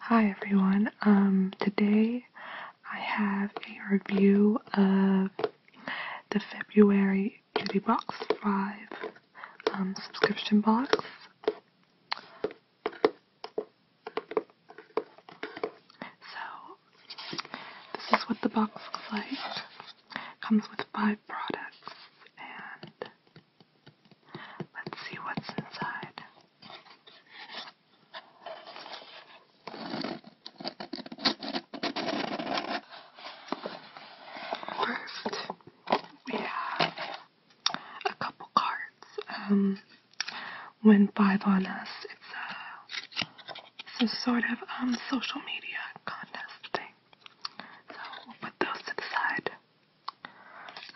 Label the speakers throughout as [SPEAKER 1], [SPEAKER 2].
[SPEAKER 1] Hi everyone, um, today I have a review of the February Beauty Box 5 um, subscription box. So this is what the box looks like. Comes with five products, and let's see what's inside. First, we have a couple cards. Um, when five on us, it's a some sort of um, social media contest thing. So we'll put those to the side.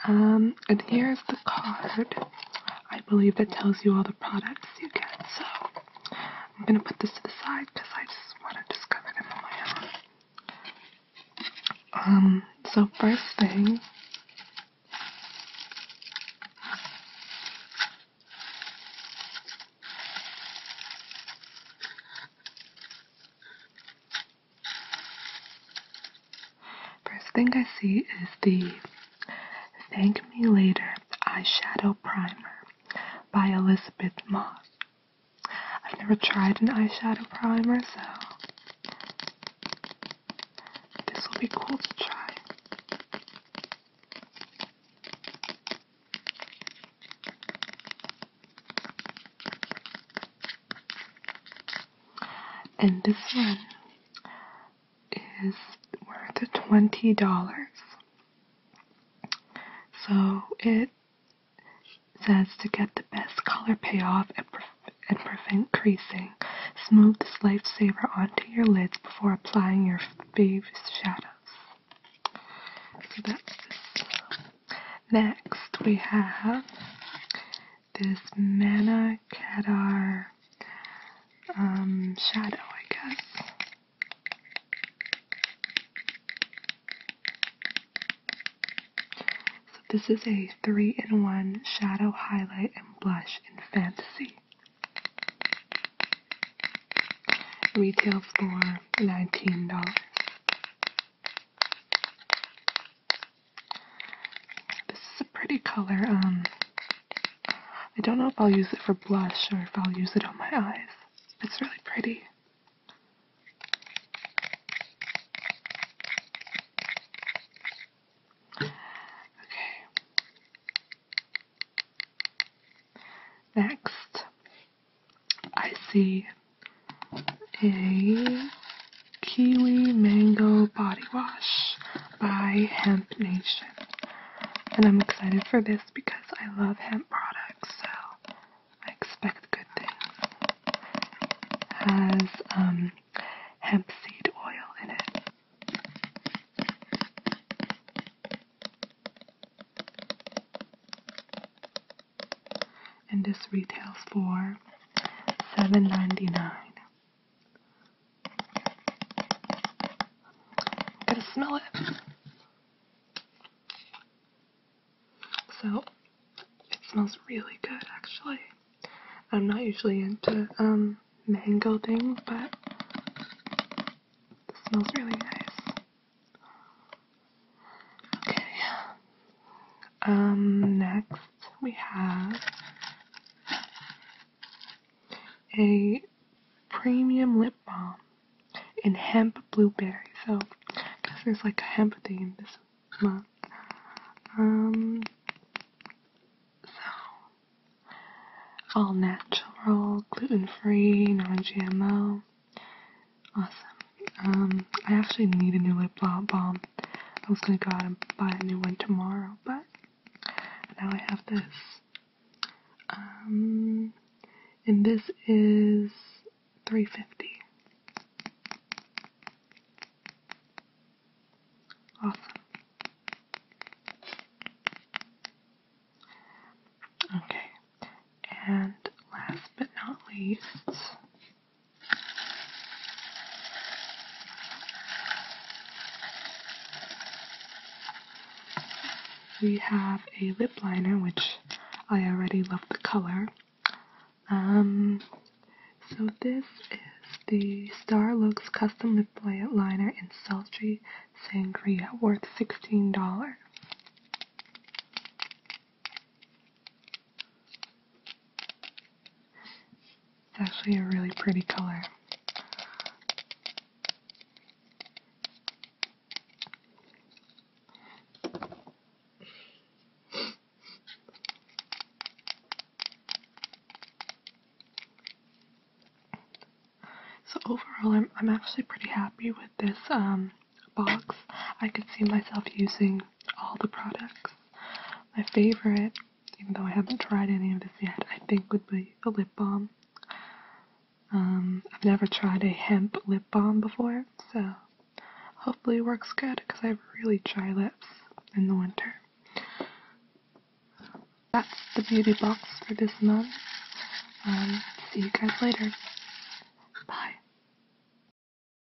[SPEAKER 1] Um, and here's the card. I believe that tells you all the products you get. So I'm gonna put this to the side because I just want to discover them on Um, so first thing First thing I see is the Thank Me Later Eyeshadow Primer by Elizabeth Moss. I've never tried an eyeshadow primer, so this will be cool to try. And this one is worth twenty dollars. So it says to get the best color payoff and and prevent creasing. Smooth this lifesaver onto your lids before applying your favorite shadows. Next, we have this Mana Kedar um, shadow, I guess. So this is a three-in-one shadow, highlight, and blush in Fantasy. Retail for $19. This is a pretty color. Um, I don't know if I'll use it for blush or if I'll use it on my eyes. It's really pretty. Okay. Next, I see a Kiwi Mango Body Wash by Hemp Nation. And I'm excited for this because I love hemp products, so I expect good things, has um, hemp seed oil in it. And this retails for $7.99. i to smell it. So it smells really good actually. I'm not usually into um mango thing, but it smells really nice. Okay. Um next we have a premium lip balm in hemp blueberry. So, I guess there's like a hemp theme this month. Um, so, all natural, gluten free, non GMO. Awesome. Um, I actually need a new lip balm. I was gonna go out and buy a new one tomorrow, but now I have this. Um, and this is 350. Awesome. Okay, and last but not least, we have a lip liner, which I already love the color. Um, so this is the Star Looks Custom Lip Liner in Sultry Sangria, worth $16. It's actually a really pretty color. So overall, I'm, I'm actually pretty happy with this um, box. I could see myself using all the products. My favorite even though I haven't tried any of this yet, I think would be a lip balm. Um, I've never tried a hemp lip balm before, so hopefully it works good because I have really dry lips in the winter. That's the beauty box for this month. Um, see you guys later. Bye.